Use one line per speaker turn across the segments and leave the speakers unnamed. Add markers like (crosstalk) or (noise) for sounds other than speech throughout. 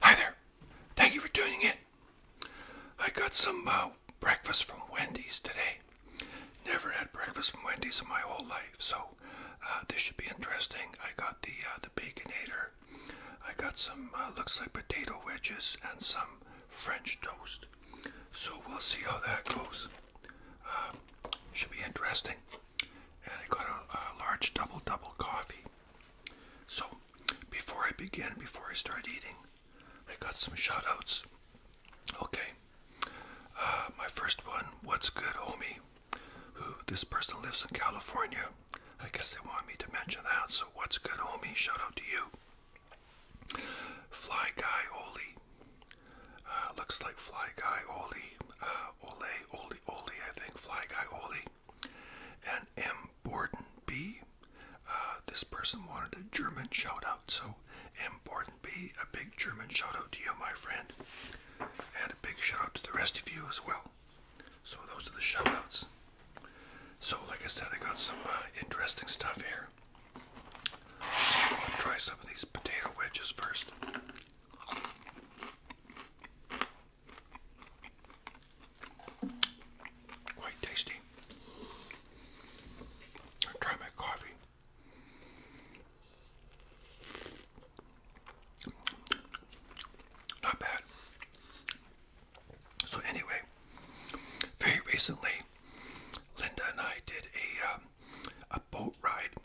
Hi there. Thank you for tuning in. I got some uh, breakfast from Wendy's today. Never had breakfast from Wendy's in my whole life. So uh, this should be interesting. I got the uh, the baconator. I got some uh, looks like potato wedges and some French toast. So we'll see how that goes. Um, should be interesting. And I got a, large double double coffee. So before I begin, before I start eating, I got some shout outs. Okay. Uh, my first one, what's good, homie? who this person lives in California. I guess they want me to mention that. So what's good, homie? Shout out to you. Fly Guy Oli. Uh, looks like Fly Guy Oli. Uh, Ole, Oli, Oli, I think. Fly Guy Oli. And M. Borden B. Uh, this person wanted a German shout out. So M. Borden B, a big German shout out to you, my friend. And a big shout out to the rest of you as well. So those are the shoutouts. So like I said, I got some uh, interesting stuff here. try some of these potato wedges first. Quite tasty. try my coffee. Not bad. So anyway, very recently, Linda and I did a um, a boat ride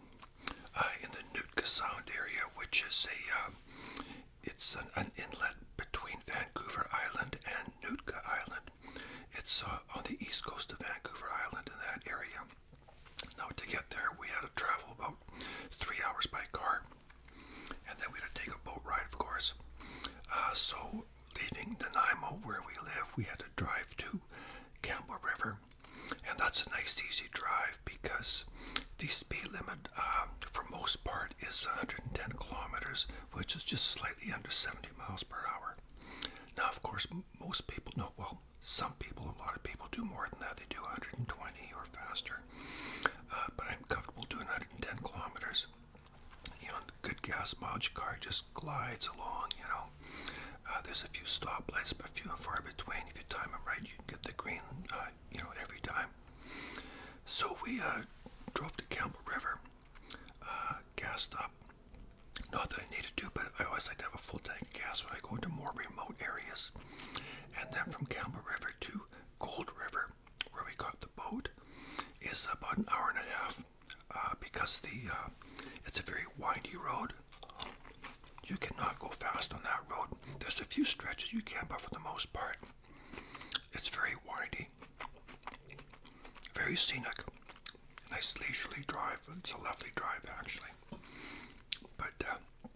uh, in the Nootka Sound area, which is a um, it's an, inlet between Vancouver Island and Nootka Island. It's uh, on the east coast of Vancouver Island in that area. Now to get there, we had to travel about three hours by car, and then we had to take a boat ride, of course. Uh, so leaving Nanaimo, where we live, we had to drive to Campbell River, and that's a nice, easy drive because the speed limit, um, for most part, is 110 kilometers, which is just slightly under 70 miles per hour. Now, of course, most people know well. Some people, a lot of people do more than that. They do 120 or faster. Uh, but I'm comfortable doing 110 kilometers. You know, good gas mileage car just glides along, you know. Uh, there's a few stoplights, but few and far between. If you time it right, you can get the green, uh, you know, every time. So we drove to Campbell River, uh, gassed up. Not that I need to, do, but I always like to have a full tank of gas when I go into more remote areas. And then from Campbell River to Gold River, where we caught the boat, is about an hour and a half uh, because the uh, it's a very windy road. You cannot go fast on that road. There's a few stretches you can, but for the most part, it's very windy, very scenic, nice leisurely drive. It's a lovely drive actually, but uh,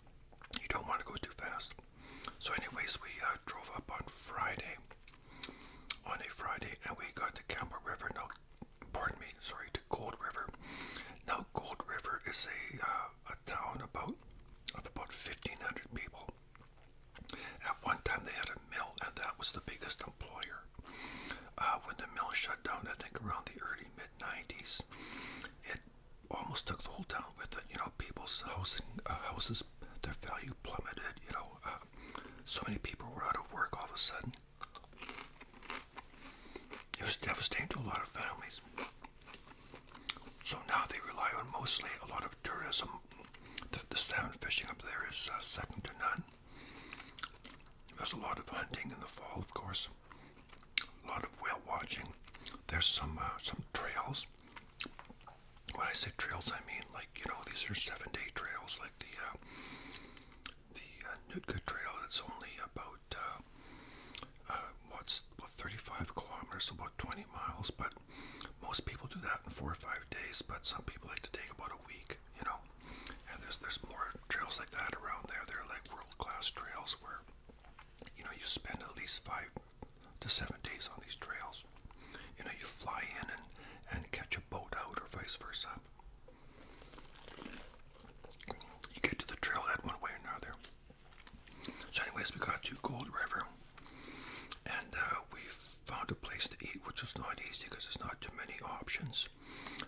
you don't want to go too fast. So, anyways, we uh, drove up on Friday, on a Friday, and we got to Campbell River. No, pardon me, sorry, to Gold River. Now, Gold River is a uh, a town about of about 1,500 people. At one time, they had a mill, and that was the biggest employer. Uh, when the mill shut down, I think around the early mid 90s, almost took the whole town with it. You know, people's housing uh, houses, their value plummeted. You know, uh, so many people were out of work all of a sudden. It was devastating to a lot of families. So now they rely on mostly a lot of tourism. The, the salmon fishing up there is uh, second to none. There's a lot of hunting in the fall, of course a lot of whale watching. There's some uh, some trails. When I say trails, I mean like you know these are seven-day trails, like the uh, the uh, Nootka Trail. It's only about uh, uh, what's about 35 kilometers, about 20 miles. But most people do that in four or five days. But some people like to take about a week, you know. And there's there's more trails like that around there. They're like world-class trails where you know you spend at least five to seven days on these trails. You know, you fly in and, and catch a boat out, or vice versa. You get to the trailhead one way or another. So, anyways, we got to Gold River, and uh, we found a place to eat, which was not easy because there's not too many options.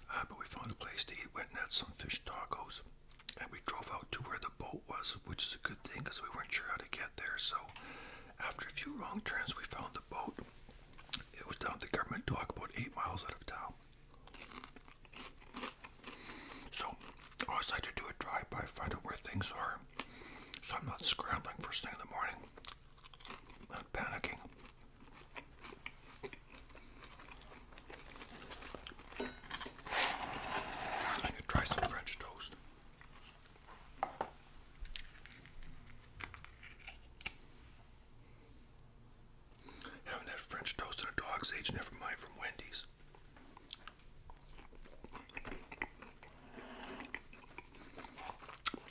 Uh, but we found a place to eat. Went and had some fish tacos and we drove out to where the boat was, which is a good thing because we weren't sure how to get there. So, after a few wrong turns, we found the boat. It was down at the government dock, about eight miles out of town. So, I decided to do a drive by, find out where things are, so I'm not scrambling first thing in the morning, not panicking. I could try some French toast. Having that French toast in a dog's age, never mind from Wendy's.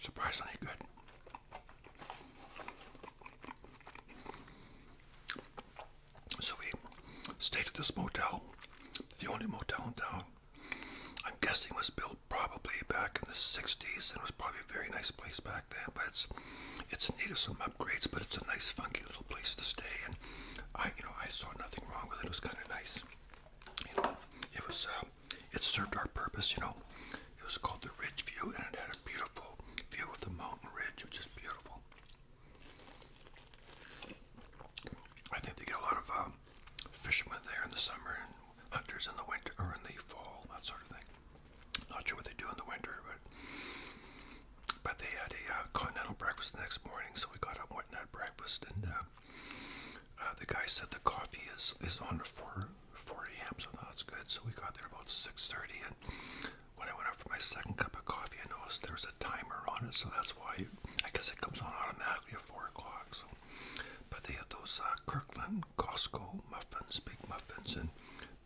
Surprisingly good. So we stayed at this motel, the only motel in town. I'm guessing was built probably back in the 60s, and it was probably a very nice place back then. But it's it's in need of some upgrades, but it's a nice, funky little place to stay. And I, you know, I saw nothing wrong with it. It was kind of nice. it was um, it served our purpose. You know, it was called the Ridge View, and it had a beautiful view of the mountain ridge, which is beautiful. I think they get a lot of um, fishermen there in the summer and hunters in the winter or in the fall, that sort of thing. Not sure what they do in the winter, but but they had a uh, continental breakfast next morning, so we got up and went and had breakfast. And uh, uh, the guy said the coffee is is on at 4 a.m. So that's good. So we got there about 6:30, and when I went out for my second cup of coffee, I noticed there was a timer on it, so that's why I, I guess it comes on automatically at 4 o'clock. So. But they have those uh, Kirkland, Costco muffins, big muffins, and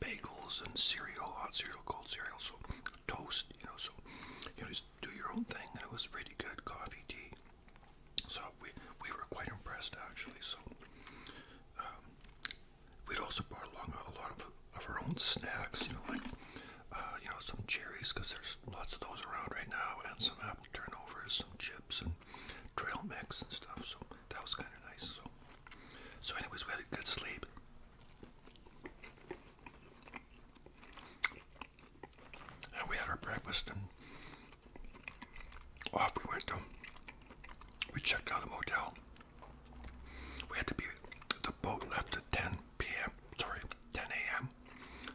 bagels and cereal, hot cereal, cold cereal, so toast, you know, so you know, just do your own thing. And it was really good coffee, tea. So we, we were quite impressed, actually. So um, we'd also brought along a lot of of our own snacks, you know, like, uh, you know, some cherries, because there's lots of those around right now, and some apple turnovers, some chips, and trail mix and stuff, so that was kind of nice, so. So anyways, we had a good sleep. And we had our breakfast, and off we went we checked out the motel. We had to be, the boat left at 10 p.m sorry, 10 a.m.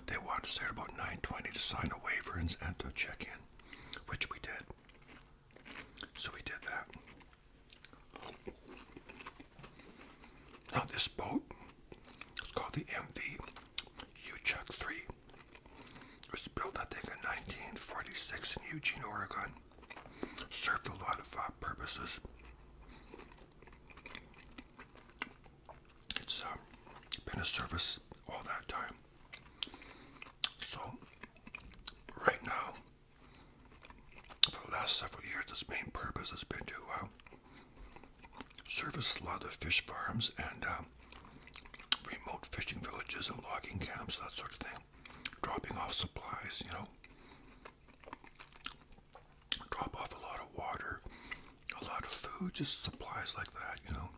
They wanted to there about 9:20 to sign a waiver and, and to check in, which we did. So we did that. Now this boat is called the MV Uchuk 3. It was built, I think, in 1946 in Eugene, Oregon. Served a lot of uh, purposes. It's uh, been a service all that time. So, right now, for the last several years, its main purpose has been to uh, service a lot of fish farms and uh, remote fishing villages and logging camps, that sort of thing. Dropping off supplies, you know drop off a lot of water, a lot of food, just supplies like that, you know.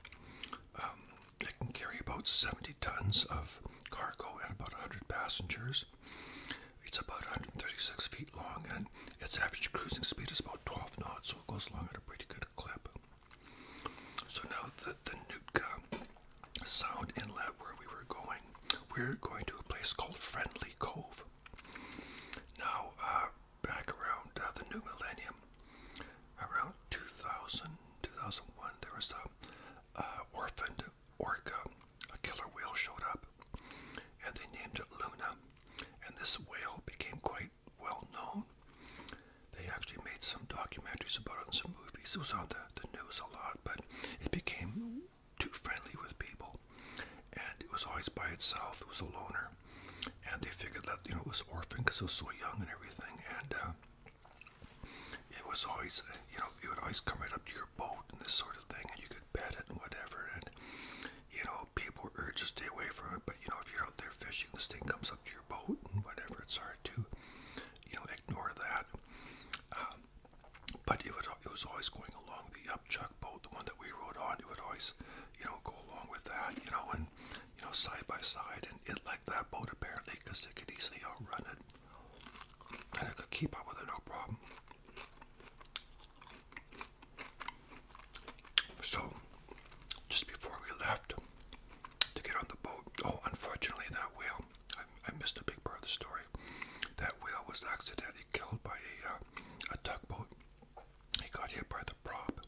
Um, it can carry about 70 tons of cargo and about 100 passengers. It's about 136 feet long and its average cruising speed is about 12 knots, so it goes along at a pretty good clip. So now the, the Nootka Sound Inlet where we were going, we're going to a place called Friendly Cove. Now, uh, back around uh, the new millennium, around 2000, 2001, there was a uh, orphaned orca, a killer whale showed up, and they named it Luna. And this whale became quite well known. They actually made some documentaries about it and some movies. It was on the, the news a lot, but it became too friendly with people, and it was always by itself. It was a loner, and they figured that you know it was orphan because it was so young and everything, and uh, it was always uh, you know it would always come right up to your boat and this sort of thing, and you could pet it and whatever, and you know people were urged to stay away from it, but you know if you're out there fishing, this thing comes up to your boat and whatever. It's hard to you know ignore that. Um, but it would it was always going along the upchuck boat, the one that we rode on. It would always, you know, go along with that, you know, and you know, side by side, and it liked that boat apparently because it could easily outrun it, and it could keep up with it no problem. So, just before we left to get on the boat, oh, unfortunately, that whale, I, missed a big part of the story. That whale was accidentally killed by a uh, tugboat he got hit by the prop,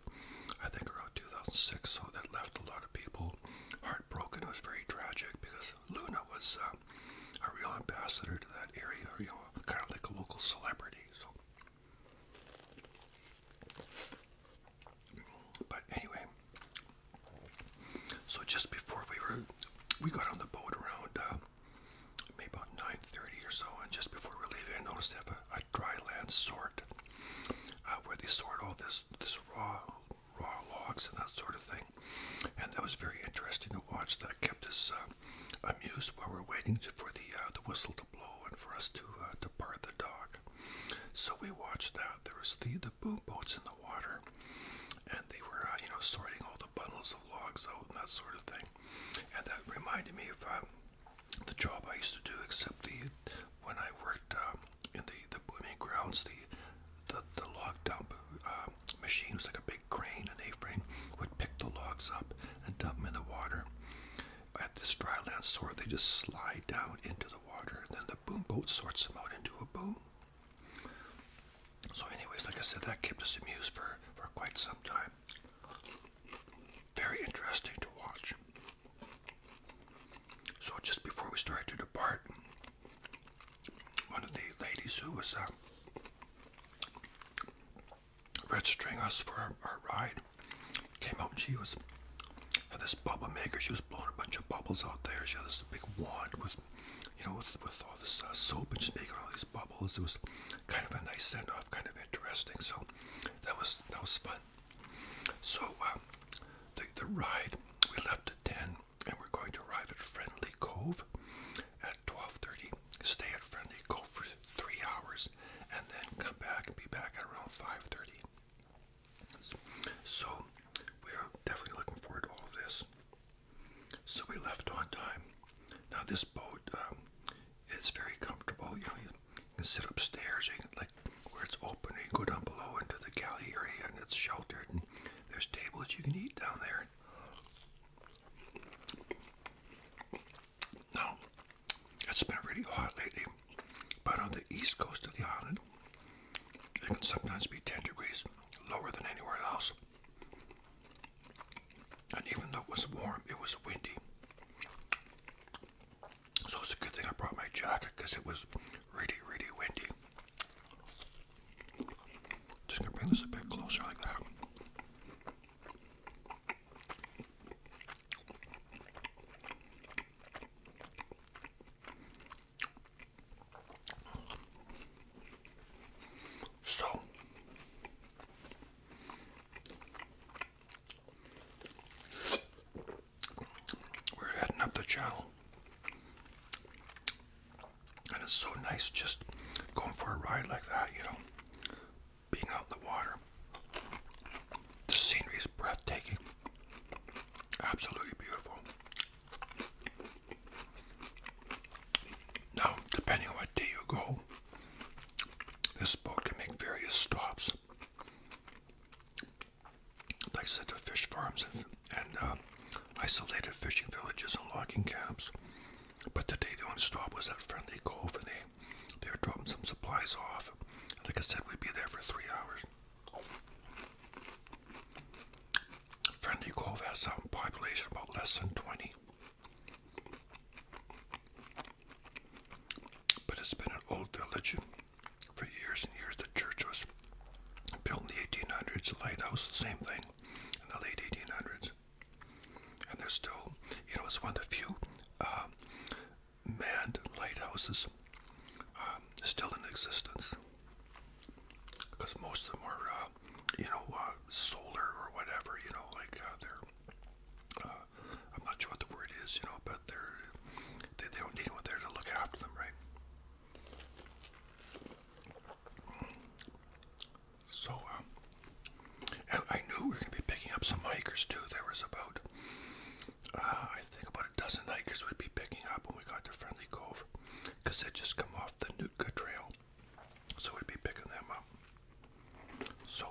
I think around 2006, so that left a lot of people heartbroken. It was very tragic because Luna was um, a real ambassador to that area, you know, kind of like a local celebrity. So, but anyway, so just before we were, we got on the boat around. Uh, maybe about 9.30 or so, and just before we were leaving, I noticed they have a, a dry land sort, uh, where they sort all this, this raw, raw logs and that sort of thing. And that was very interesting to watch. That kept us uh, amused while we we're waiting to, for the, uh, the whistle to blow and for us to, uh, to part the dog. So we watched that. There was the, the boom boats in the water, and they were, uh, you know, sorting all the bundles of logs out and that sort of thing and that reminded me of um, the job I used to do, except the when I worked um, in the the booming grounds, the the, the log dump uh, machines like a big crane and A-frame would pick the logs up and dump them in the water. At this dryland sort, they just slide down into the water, and then the boom boat sorts them out into a boom. So, anyways, like I said, that kept us amused for for quite some time very interesting to watch. So just before we started to depart, one of the ladies who was uh, registering us for our, ride came out and she was had this bubble maker. She was blowing a bunch of bubbles out there. She had this big wand with, you know, with, with all this uh, soap and she's making all these bubbles. It was kind of a nice send off kind of interesting. So that was that was fun. So um, the the ride we left at ten, and we're going to arrive at Friendly Cove at twelve thirty. Stay at Friendly Cove for three hours, and then come back and be back at around five thirty. So we're definitely looking forward to all of this. So we left on time. Now this boat um, it's very comfortable. You know, you can sit upstairs, like where it's open, you go down below into the gallery, area, and it's sheltered. And there's tables you can eat down there. Now, it's been really hot lately, but on the east coast of the island, it can sometimes be 10 degrees lower than anywhere else. And even though it was warm, it was windy. So it's a good thing I brought my jacket because it was really, really windy. Just gonna bring this a bit closer like that. So, we're heading up the channel. And it's so nice just going for a ride like that, you know, being out in the water. The scenery is breathtaking, absolutely beautiful. Now, depending on what day you go, this boat can make various stops. Like said, to fish farms and, uh, isolated fishing villages and logging camps. But today the only stop was at Friendly Cove and they, they were dropping some supplies off. Like I said, we'd be there for three hours. Friendly Cove has a population of about less than 20. But it's been an old religion. For years and years, the church was built in the 1800s. The lighthouse, the same thing, in the late 1800s. And there's still, you know, it's one of the few um, manned lighthouses um, still in existence. Because most of them are, uh, you know, uh, solar or whatever, you know, like uh, they're uh, I'm not sure what the word is, you know, but they're, they don't need anyone there to look after them, right? So, um, and I knew we were going to be picking up some hikers too. There was about, uh, I think, about a dozen hikers we'd be picking up when we got to Friendly Cove, because they'd just come off the Nootka Trail, so we'd be picking them up. So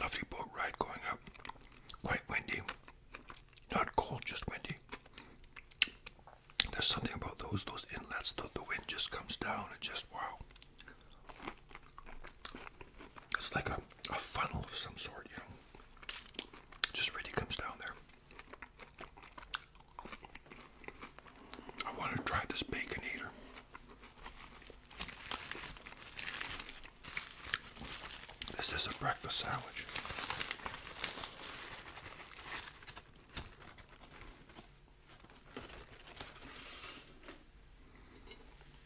lovely boat ride going up. Quite windy. Not cold, just windy. There's something about those those inlets though the wind just comes down It just wow. It's like a, a funnel of some sort, you know. Just really comes down there. I want to try this bacon eater. This is a breakfast sandwich.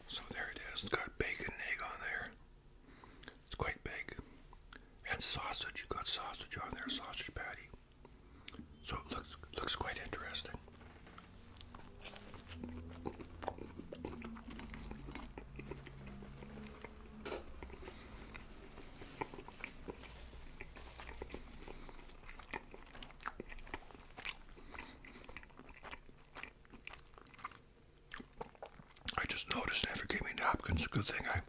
So there it is. It's got bacon and egg on there. It's quite big. And sausage. You got sausage on there, sausage patty. So it looks looks quite interesting. I just noticed never gave me napkins. Good thing I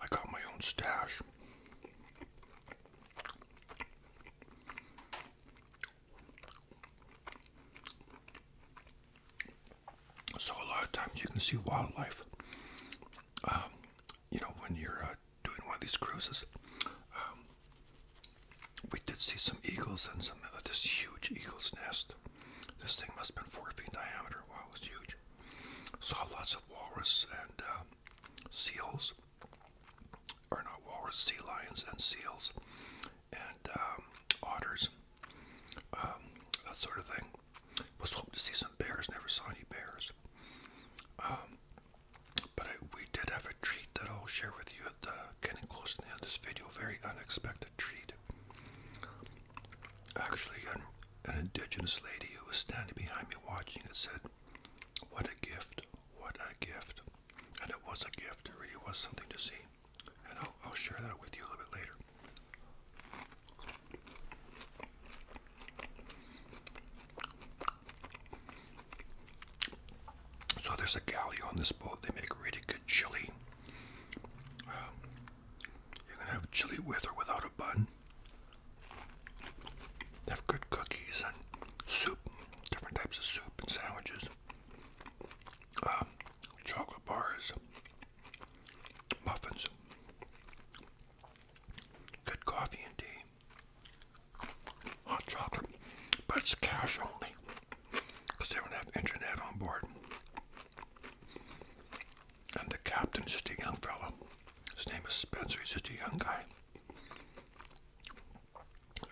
I got my own stash. So a lot of times you can see wildlife. Um, you know, when you're uh, doing one of these cruises, um, we did see some eagles and some uh, this huge eagle's nest. This thing must have four feet diameter. Wow, it huge. Saw lots of walrus and uh, seals, or not walrus, sea lions and seals, and um, otters, um, that sort of thing. Was hoping to see some bears, never saw any bears. Um, but I, we did have a treat that I'll share with you at the getting close to end of this video. Very unexpected treat. Actually, an indigenous lady who was standing behind me watching it said, What a gift, what a gift. And it was a gift, it really was something to see. And I'll, share that with you a little bit later. So there's a galley on this boat. They make really good chili. Um, you can have chili with or without a bun have good cookies and soup, different types of soup and sandwiches, um, chocolate bars, muffins, good coffee and tea, hot chocolate, but it's cash only because they don't have internet on board. And the captain's just a young fella. His name is Spencer. He's just a young guy.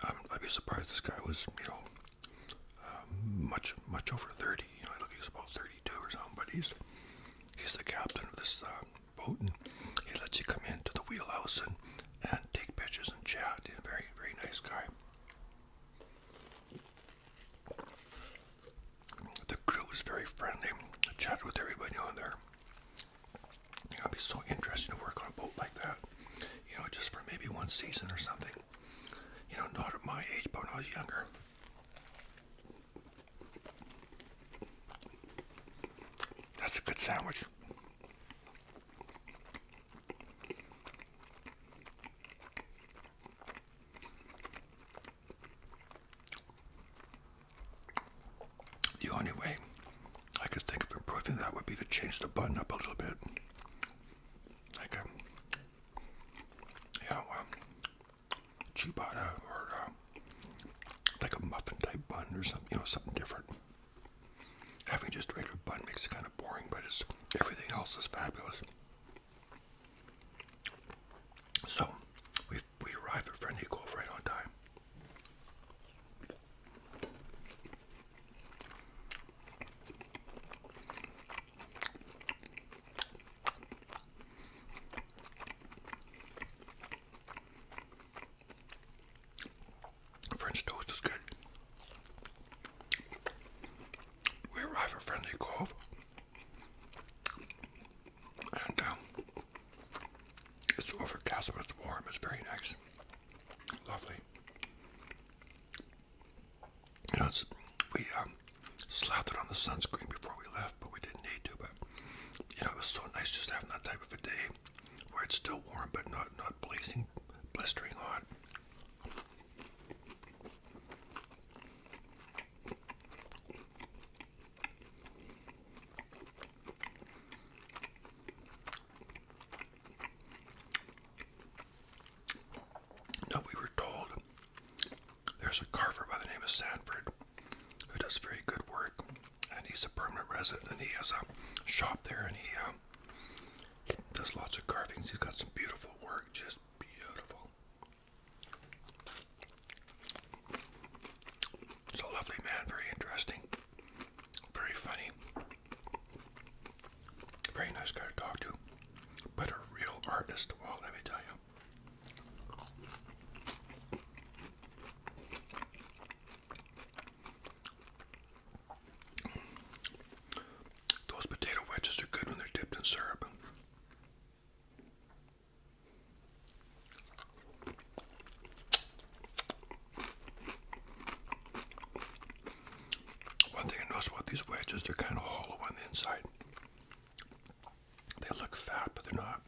Um, I'd be surprised this guy was, you know, um, much much over 30. You know, I look, he's about 32 or something, but he's he's the captain of this uh, boat, and he lets you come into the wheelhouse and, and take pictures and chat. very, very nice guy. The crew was very friendly. I chatted with everybody on there. it'd be so interesting to work on a boat like that. You know, just for maybe one season or something. You know, not at my age, but when I was younger. That's a good sandwich. The only way I could think of improving that would be to change the bun up a little bit. Like a, um, yeah, um, ciabatta or uh, like a muffin type bun or something, you know, something different. Having just regular bun makes it kind of boring, but everything else is fabulous. So we we arrive at Friendly Cove right on time. French toast is good. We arrive at Friendly Cove, and um, it's overcast, but it's warm. It's very nice. Lovely. You know, we um, slathered on the sunscreen before we left, but we didn't need to. But you know, it was so nice just having that type of a day where it's still warm, but not not blazing, blistering hot. Now, we were told there's a carver by the name of Sanford who does very good work, and he's a permanent resident, and he has a shop there, and he, um, he does lots of carvings. He's got some beautiful work, just beautiful. He's a lovely man, very interesting, very funny, very nice guy to talk to, but a real artist, well, let me tell you. Those potato wedges are good when they're dipped in syrup. One thing I notice about these wedges, they're kind of hollow on the inside. They look fat, but they're not.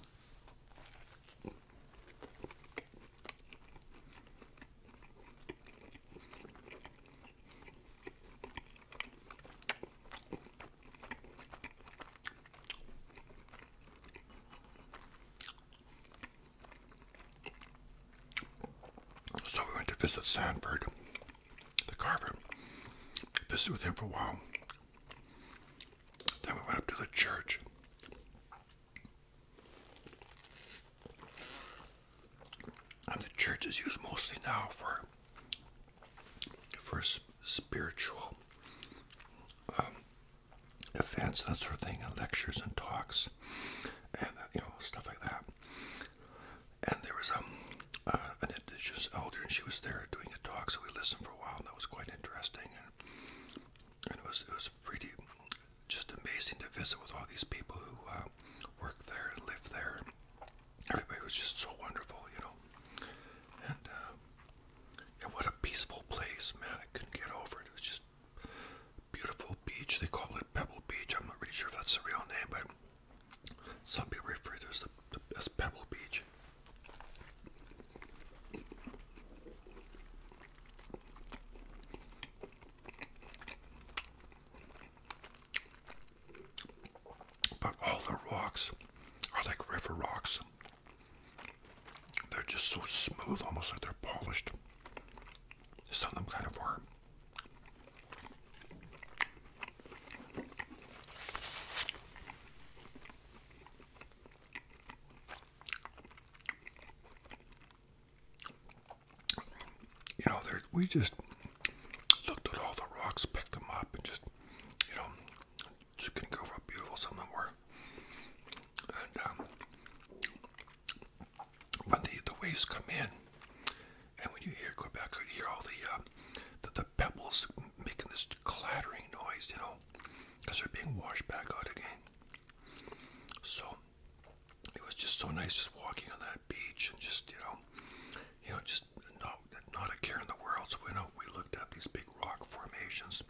So we went to visit Sanford, the carver, visited with him for a while. Then we went up to the church. And the church is used mostly now for for spiritual um, events, that sort of thing, and lectures and talks, and you know stuff like that. And there was um, uh, an indigenous elder, and she was there doing a talk, so we listened for a while, and that was quite interesting. And, and it was it was pretty just amazing to visit with all these people who uh, work there and live there. Everybody was just so wonderful, you know. And uh, and what a peaceful place, man. I couldn't get over it. It was just beautiful beach. They call it Pebble Beach. I'm not really sure if that's the real name, but some people refer to it as, the, as Pebble Beach. But all the rocks are like river rocks. They're just so smooth, almost like they're polished. Some of them kind of are. You know, we just looked at all the rocks, picked them up, and just, you know, just gonna go for a beautiful summer war. And um, when the, the waves come in, and when you hear Quebec, you hear all the, uh, the, the pebbles making this clattering noise, you know, they're being washed back out again. So it was just so nice just walking on that beach and just you know, you know, just not not a care in the world. So when uh, we looked at these big rock formations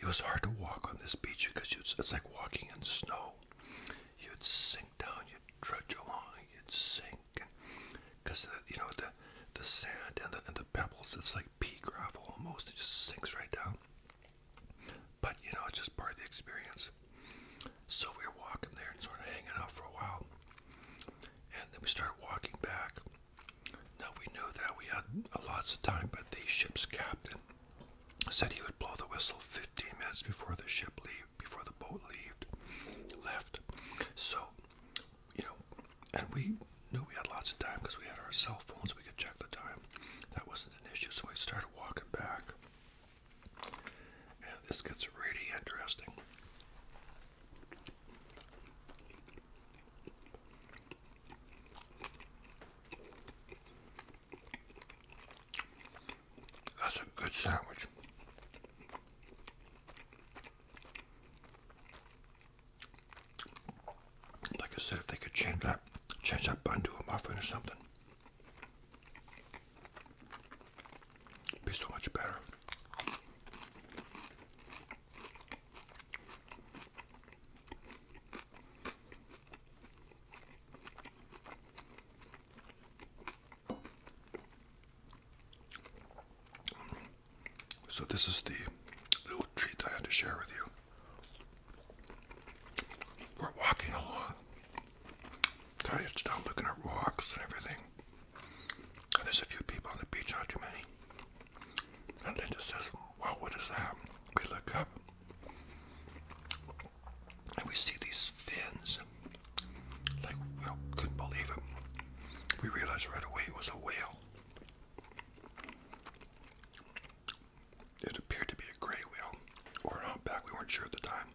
it was hard to walk on this beach because it's like walking in snow. You'd sink down, you'd trudge along, you'd sink, because you know the the sand and the and the pebbles. It's like pea gravel almost. It just sinks right down. But you know it's just part of the experience. So we were walking there and sort of hanging out for a while, and then we started walking back. Now we knew that we had lots of time, but the ship's captain said he would blow the whistle 15 minutes before the ship leave, before the boat leaved, left. So, you know, and we knew we had lots of time because we had our cell phones. We could check the time. That wasn't an issue. So we started walking back. And this gets really interesting. That's a good sandwich. Like I said, if they could change that, change that bun to a muffin or something, be so much better. So, this is the little treat that I had to share with you. We're walking along. Kind of just looking at rocks and everything. There's a few people on the beach, not too many. And Linda says, Wow, what is that? We look up and we see these fins. Like, we couldn't believe it. We realized right away it was a whale. It appeared to be a gray whale or an we weren't sure at the time.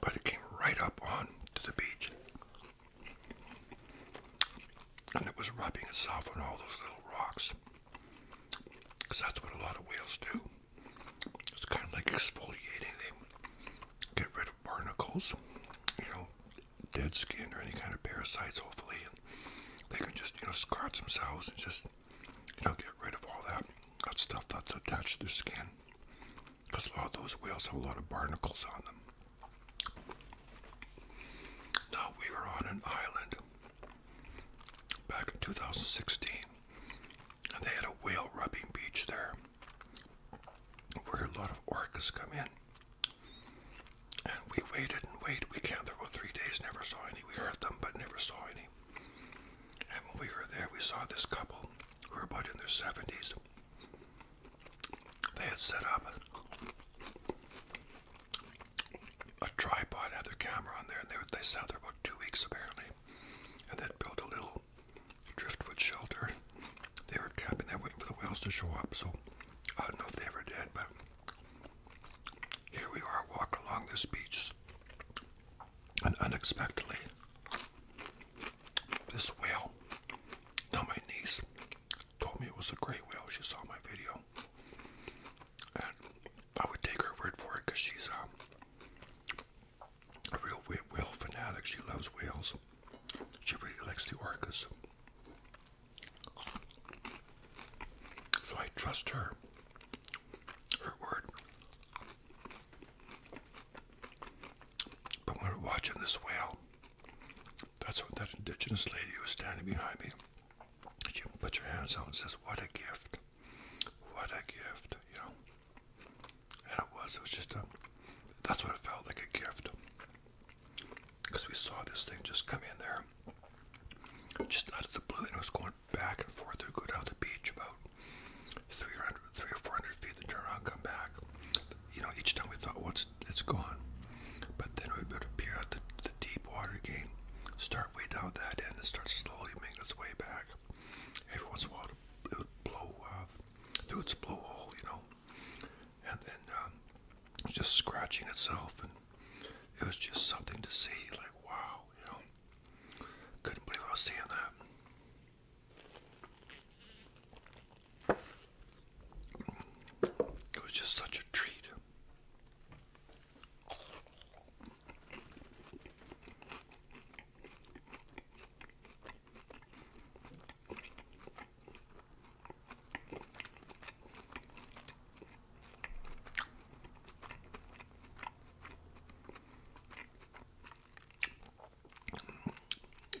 But it came right up on to the beach. And it was rubbing itself on all those little rocks. that's what a lot of whales do. It's kind of like exfoliating. They get rid of barnacles, you know, dead skin or any kind of parasites, hopefully, they can just, you know, scratch themselves and just, you know, get rid of all that, that stuff that's attached to their skin. Because a lot of those whales have a lot of barnacles on them. Now, we were on an island back in 2016, and they had a whale rubbing beach there where a lot of orcas come in. And we waited and waited. We camped there for three days, never saw any. We heard them, but never saw any. And when we were there, we saw this couple who were about in their 70s. They had set up a tripod, had their camera on there, and they, they sat there about two weeks apparently. And they built a little driftwood shelter. They were camping there waiting for the whales to show up, so I don't know if they ever did, but here we are, walk along this beach, and unexpectedly, this whale, now my niece, told me it was a great whale. She saw my video, and I would take her word for it because she's a, um, a real whale fanatic. She loves whales. She really likes the orcas. So I trust her, her word. But we're watching this whale, that's what that indigenous lady who was standing behind me. She put her hands out and says, What a gift. What a gift, you know. And it was, it was just a, that's what it felt like a gift. Because we saw this thing just come in there just out of the blue, and it was going back and forth. It go down the beach about 300, three or 400 feet, then turn around, come back. You know, each time we thought, "What's it's gone. But then it would appear at the, the deep water again, start way down that end, and start slowly making its way back. Every once in a while, it would blow, uh, through its blowhole, you know, and then um, just scratching itself and it was just something to see. Like, wow, you know, couldn't believe I was seeing that. It was just such a treat.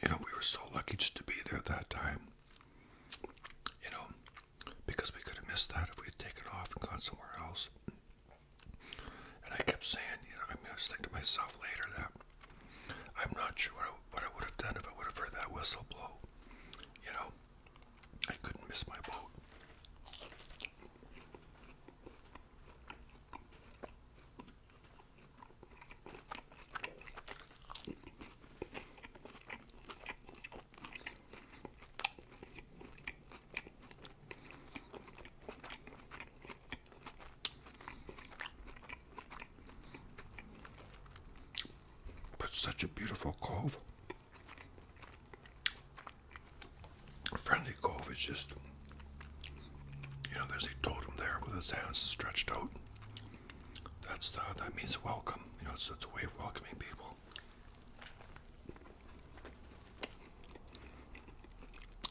You know, we were so lucky just to be there at that time. You know, because we could have missed that if we had taken off and gone somewhere else. And I kept saying, you know, I mean, I was thinking to myself later that I'm not sure what I, what I would have done if I would have heard that whistle blow. You know, I couldn't miss my boat. But such a beautiful cove. Friendly Cove is just, you know, there's a totem there with his hands stretched out. That's the, uh, that means welcome. You know, it's, it's a way of welcoming people.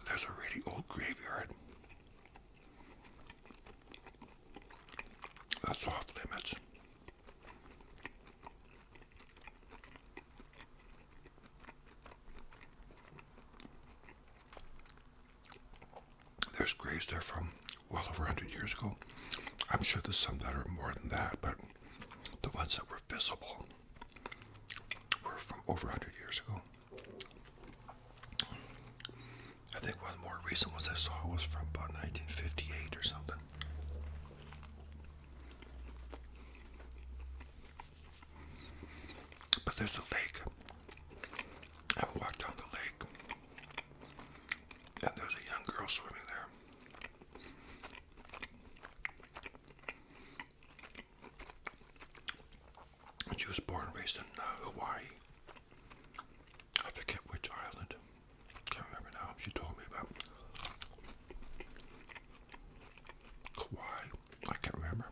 There's a really old graveyard. That's off limits. There's graves there from well over 100 years ago. I'm sure there's some that are more than that, but the ones that were visible were from over 100 years ago. I think one of the more recent ones I saw was from about 1958 or something. But there's a lake. I walked down the lake, and there's a young girl swimming there. She was born and raised in uh, Hawaii. I forget which island. Can't remember now. She told me about Kawhi. I can't remember.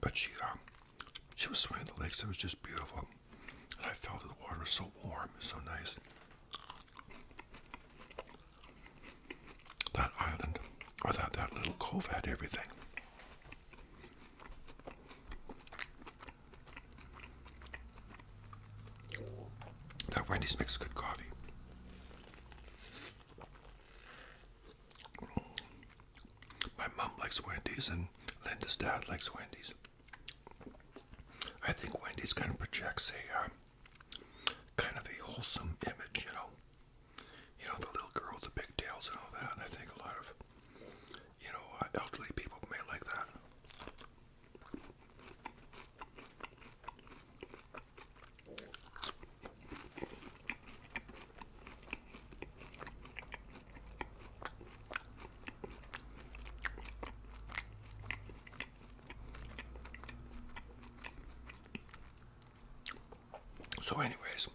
But she, um, she was swimming in the lakes. it was just beautiful. And I felt the water was so warm. so nice. That island, or that, that little cove had everything. That Wendy's makes good coffee. My mom likes Wendy's and Linda's dad likes Wendy's. I think Wendy's kind of projects a uh, kind of a wholesome image, you know you know, the little girl with the pigtails and all that. I think a lot of, you know, uh, elderly people may like that. So, anyways,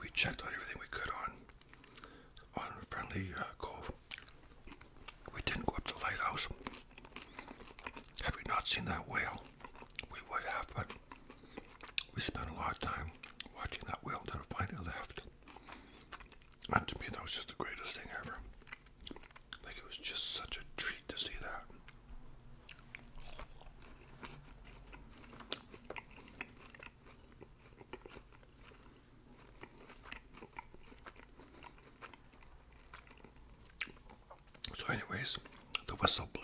we checked on everything we could on on Friendly uh, Cove. We didn't go up to the Lighthouse. Had we not seen that whale, we would have, but we spent a lot of time watching that whale till it finally left. And to me, that was just the greatest thing ever. Like, it was just such a treat to see that. So, anyways, the whistle blew.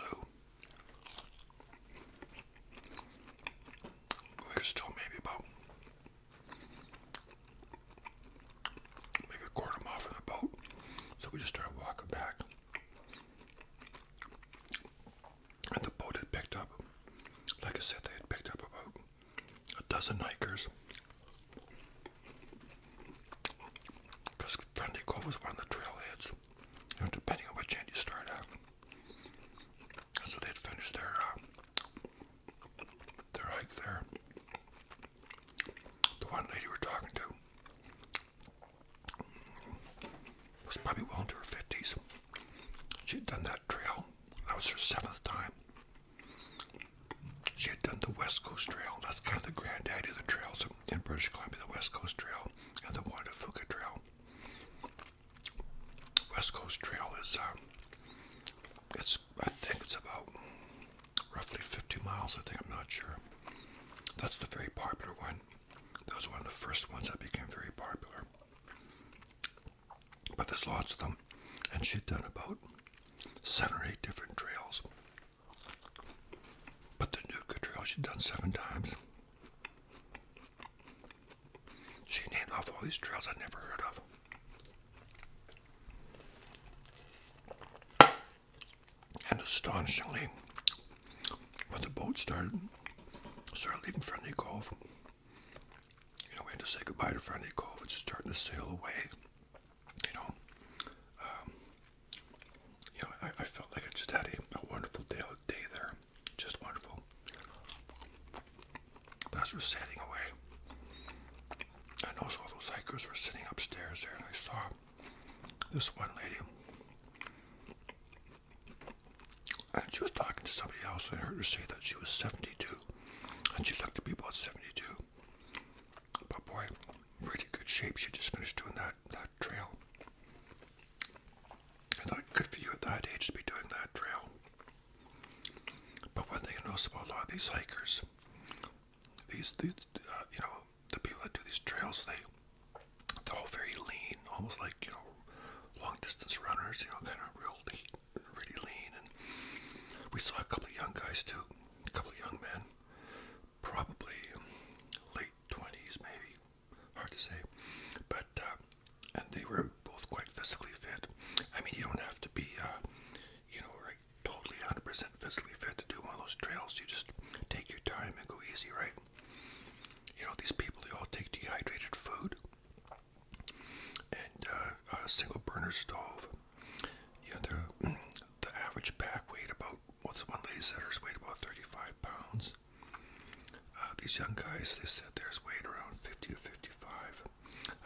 There's still maybe about maybe a quarter mile from the boat. So we just started walking back. And the boat had picked up, like I said, they had picked up about a dozen hikers. Because Friendly Cove was one of the trail you depending on which end you start at. so they'd finished their, uh, their hike there. The one lady we're talking to, was probably well into her 50s. She'd done that trail. That was her seventh time. She had done the West Coast Trail. That's kind of the granddaddy of the trails in British Columbia, the West Coast Trail and the Wadafuka Trail. West Coast Trail is, uh, it's I think it's about roughly 50 miles. I think I'm not sure. That's the very popular one. That was one of the first ones that became very popular. But there's lots of them, and she'd done about seven or eight different trails. But the new Trail she'd done seven times. She named off all these trails I'd never heard of. And astonishingly, when the boat started, started leaving Friendly Cove, you know, we had to say goodbye to Friday Cove, which is starting to sail away. You know, um, you know, I, felt like I just had a, wonderful day, day there, just wonderful. But as we're sailing away, I noticed all those hikers were sitting upstairs there, and I saw this one lady and she was talking to somebody else, and I heard her say that she was 72. And she looked to be about 72. But boy, pretty good shape. She just finished doing that, that trail. I thought, good for you at that age to be doing that trail. But one thing I notice about a lot of these hikers, these, these uh, you know, the people that do these trails, they, they're all very lean, almost like, you know, long distance runners, you know, that are real lean, really lean. And we saw a couple of young guys too, a couple of young men, probably late 20s, maybe, hard to say. But, uh, and they were both quite physically fit. I mean, you don't have to be, uh, you know, like totally 100% physically fit to do one of those trails. You just take your time and go easy, right? You know, these people, they all take dehydrated food and uh, a single burner stove. You the, (clears throat) the average pack weight. about, what's one lady said hers weighed about 35 pounds. Uh, these young guys, they said theirs weighed around 50 to 55.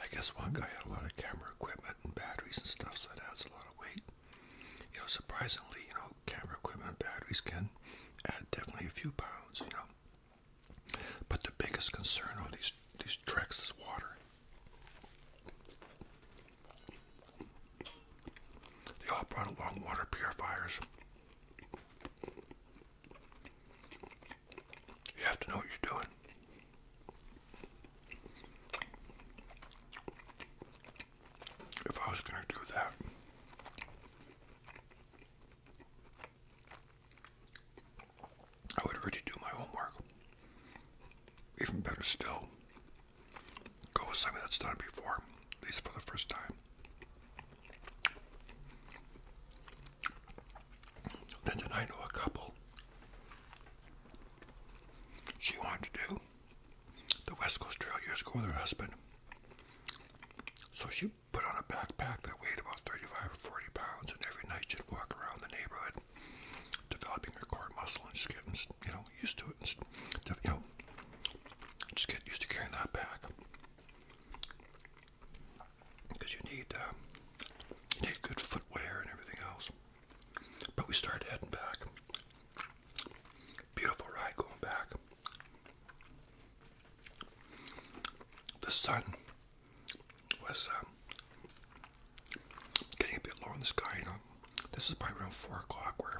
I guess one guy had a lot of camera equipment and batteries and stuff, so that adds a lot of weight. You know, surprisingly, you know, camera equipment and batteries can add definitely a few pounds, you know. But the biggest concern are these these treks is water. They all brought along water purifiers. You have to know what you're doing. If I was going to do that, I would already do my homework. Even better still, go with something that's done before, at least for the first time. And then I know a couple. She wanted to do the West Coast Trail years ago with her husband. So she put on a backpack that weighed about 35 or 40 pounds, and every night she walk around the neighborhood, developing her core muscle, and just getting, you know, used to it. you know, just get used to carrying that back. Because you need, uh, you need good footwear and everything else. But we started heading back. Beautiful ride going back. The sun was um, getting a bit low in the sky. You know, this is probably around four o'clock. We're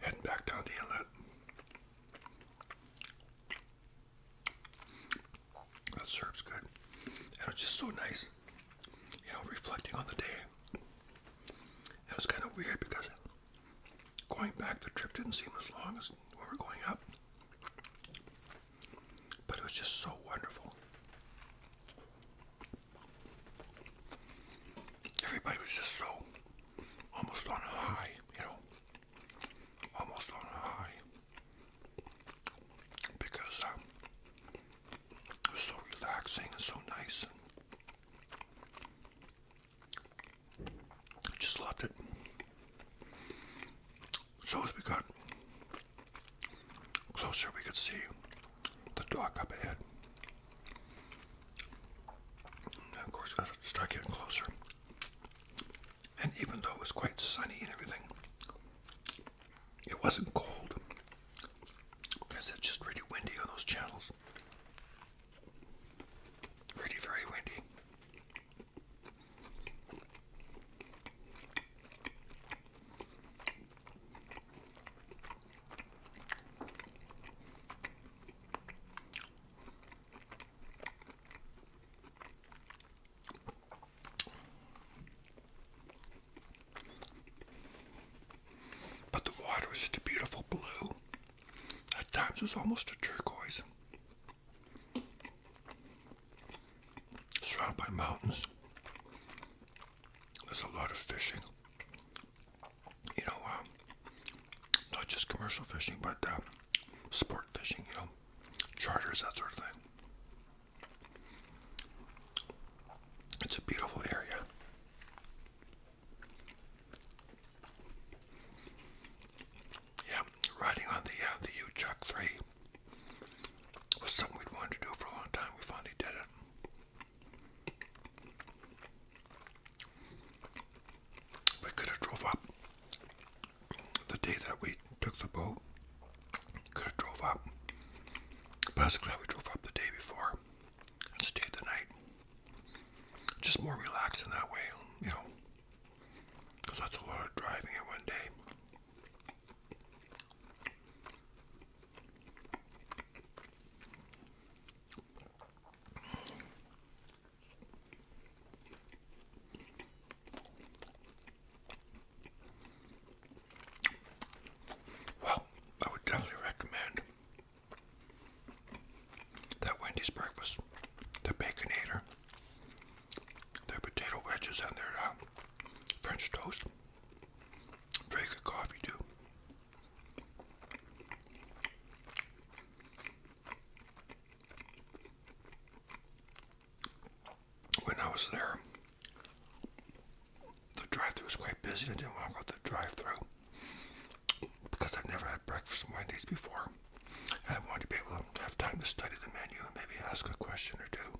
heading back down the inlet. That serves good, and it's just so nice. You know, reflecting on the day. It was kind of weird because going back, the trip didn't seem as long as we were going up. But it was just so wonderful. Everybody was just so almost on a high, you know, almost on a high because um, it was so relaxing and so nice. I Just loved it. So as we got closer, we could see the dock up ahead. of course, as it started getting closer, and even though it was quite sunny and everything, it wasn't cold. Because it's just really windy on those channels. Really very windy. But the water was just a beautiful blue. At times it was almost a turquoise. Surrounded by mountains. There's a lot of fishing. You know, um, not just commercial fishing, but uh, sport fishing, you know, charters, that sort of thing. It's a beautiful area. Yeah, riding on the uh, the U-Chuck 3 was something we'd wanted to do for a long time. We finally did it. We could have drove up the day that we took the boat. Could have drove up, but I was glad we drove up the day before and stayed the night. Just more relaxed in that way, you know. Because that's a lot of driving in one day. Well, I would definitely recommend that Wendy's breakfast, the Baconator their potato wedges and their uh, French toast. Very good coffee too. When I was there, the drive-through was quite busy. I didn't want to go the drive-through because I've never had breakfast Mondays before. I want to be able to have time to study the menu and maybe ask a question or two.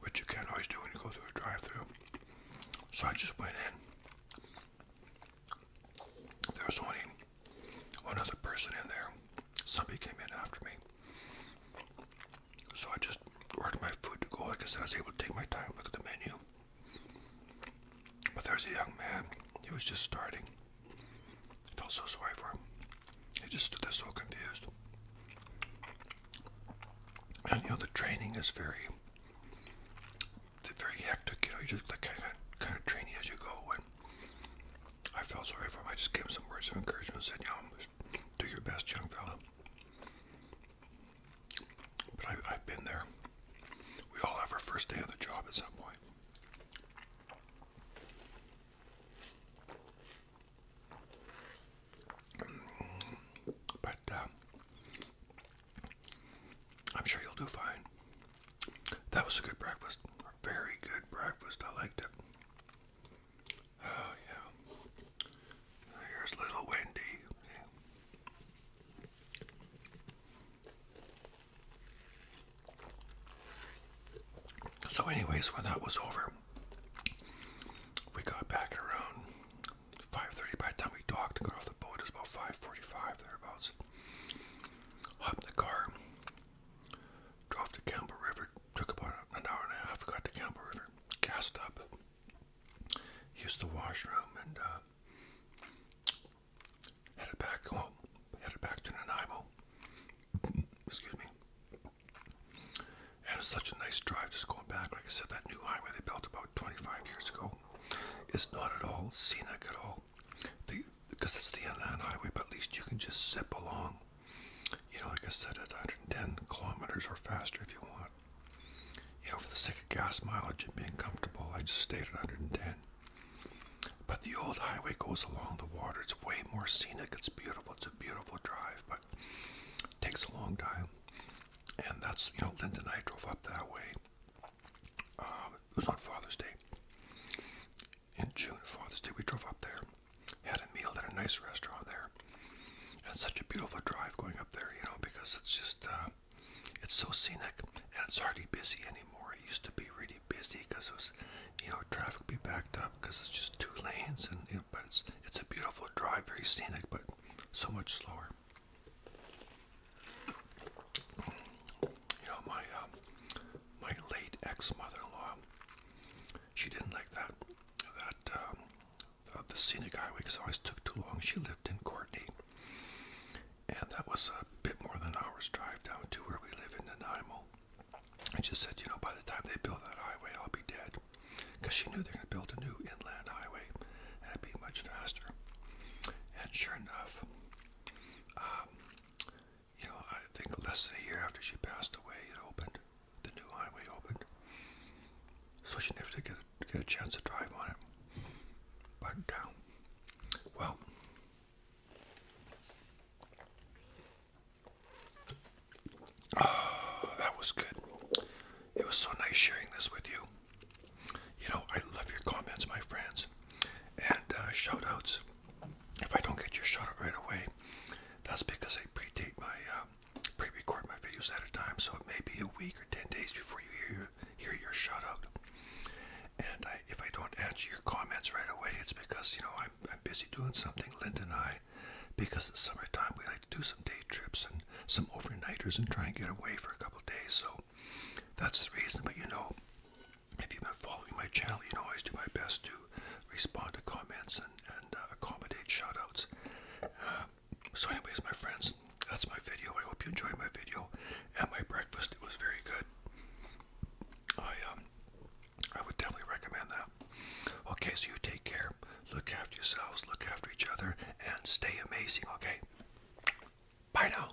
Which you can't always do when you go through a drive through. So I just went in. There was only one other person in there. Somebody came in after me. So I just worked my food to go. Like I said, I was able to take my time, look at the menu. But there's a young man, he was just starting. I felt so sorry for him. He just stood there so confused. And you know, the training is very, very hectic. You know, you just like kind of, kind of train as you go. And I felt sorry for him. I just gave him some words of encouragement and said, you know, do your best, young fellow." But I, I've been there. We all have our first day on the job at some point. But uh, I'm sure you'll do fine. That was a good breakfast. A very good breakfast. I liked it. Oh, yeah. Here's little Wendy. So, anyways, when that was over, we got back around 5:30. By the time we docked and got off the boat, it was about 5:45 thereabouts. Hopped the car, drove to Campbell River. Took about an hour and a half. Got to Campbell River, gassed up, used the washroom, and uh, headed back home, headed back to Nanaimo. Excuse me. And it's such a nice drive just going back. Like I said, that new highway they built about 25 years ago is not at all scenic at all. The, because it's the inland highway, but at least you can just zip along. You know, like I said, at 110 kilometers or faster if you want. You know, for the sake of gas mileage and being comfortable, I just stayed at 110. But the old highway goes along the water. It's way more scenic. It's beautiful. It's a beautiful drive, but it takes a long time. And that's, you know, Linda and I drove up that way. Um, it was on Father's Day. In June, Father's Day, we drove up there, had a meal at a nice restaurant there. And such a beautiful drive going up there, you know, because it's just, uh, it's so scenic and it's hardly busy anymore. It used to be really because it was, you know, traffic be backed up because it's just two lanes and but it's it's a beautiful drive, very scenic, but so much slower. You know, my um, my late ex mother-in-law, she didn't like that that um, the, scenic highway always took too long. She lived in Courtney, and that was a bit more than an hour's drive down to where we live in Nanaimo. And she said, you know, by the time they build that highway, I'll be dead. Because she knew they're going to build a new inland highway and it'd be much faster. And sure enough, um, you know, I think less than a year after she passed away, it opened. The new highway opened. So she never did get a, chance to drive on it. But down. Uh, well, Oh, that was good. It was so nice sharing this with you. You know, I love your comments, my friends, and uh, shoutouts. If I don't get your shoutout right away, that's because I predate my, um, pre record my videos at a time, so it may be a week or 10 days before you hear, hear your shoutout. And I, if I don't answer your comments right away, it's because, you know, I'm, I'm busy doing something, Linda and I, because it's summertime. We like to do some day trips and some overnighters and try and get away for a couple days. So that's the reason. But, you know, if you've been following my channel, you know I always do my best to respond to comments and, and uh, accommodate shoutouts. Um, so anyways, my friends, that's my video. I hope you enjoyed my video and my breakfast. It was very good. I um, I would definitely recommend that. Okay, so you take care. Look after yourselves, look after each other, and stay amazing, okay? Bye now.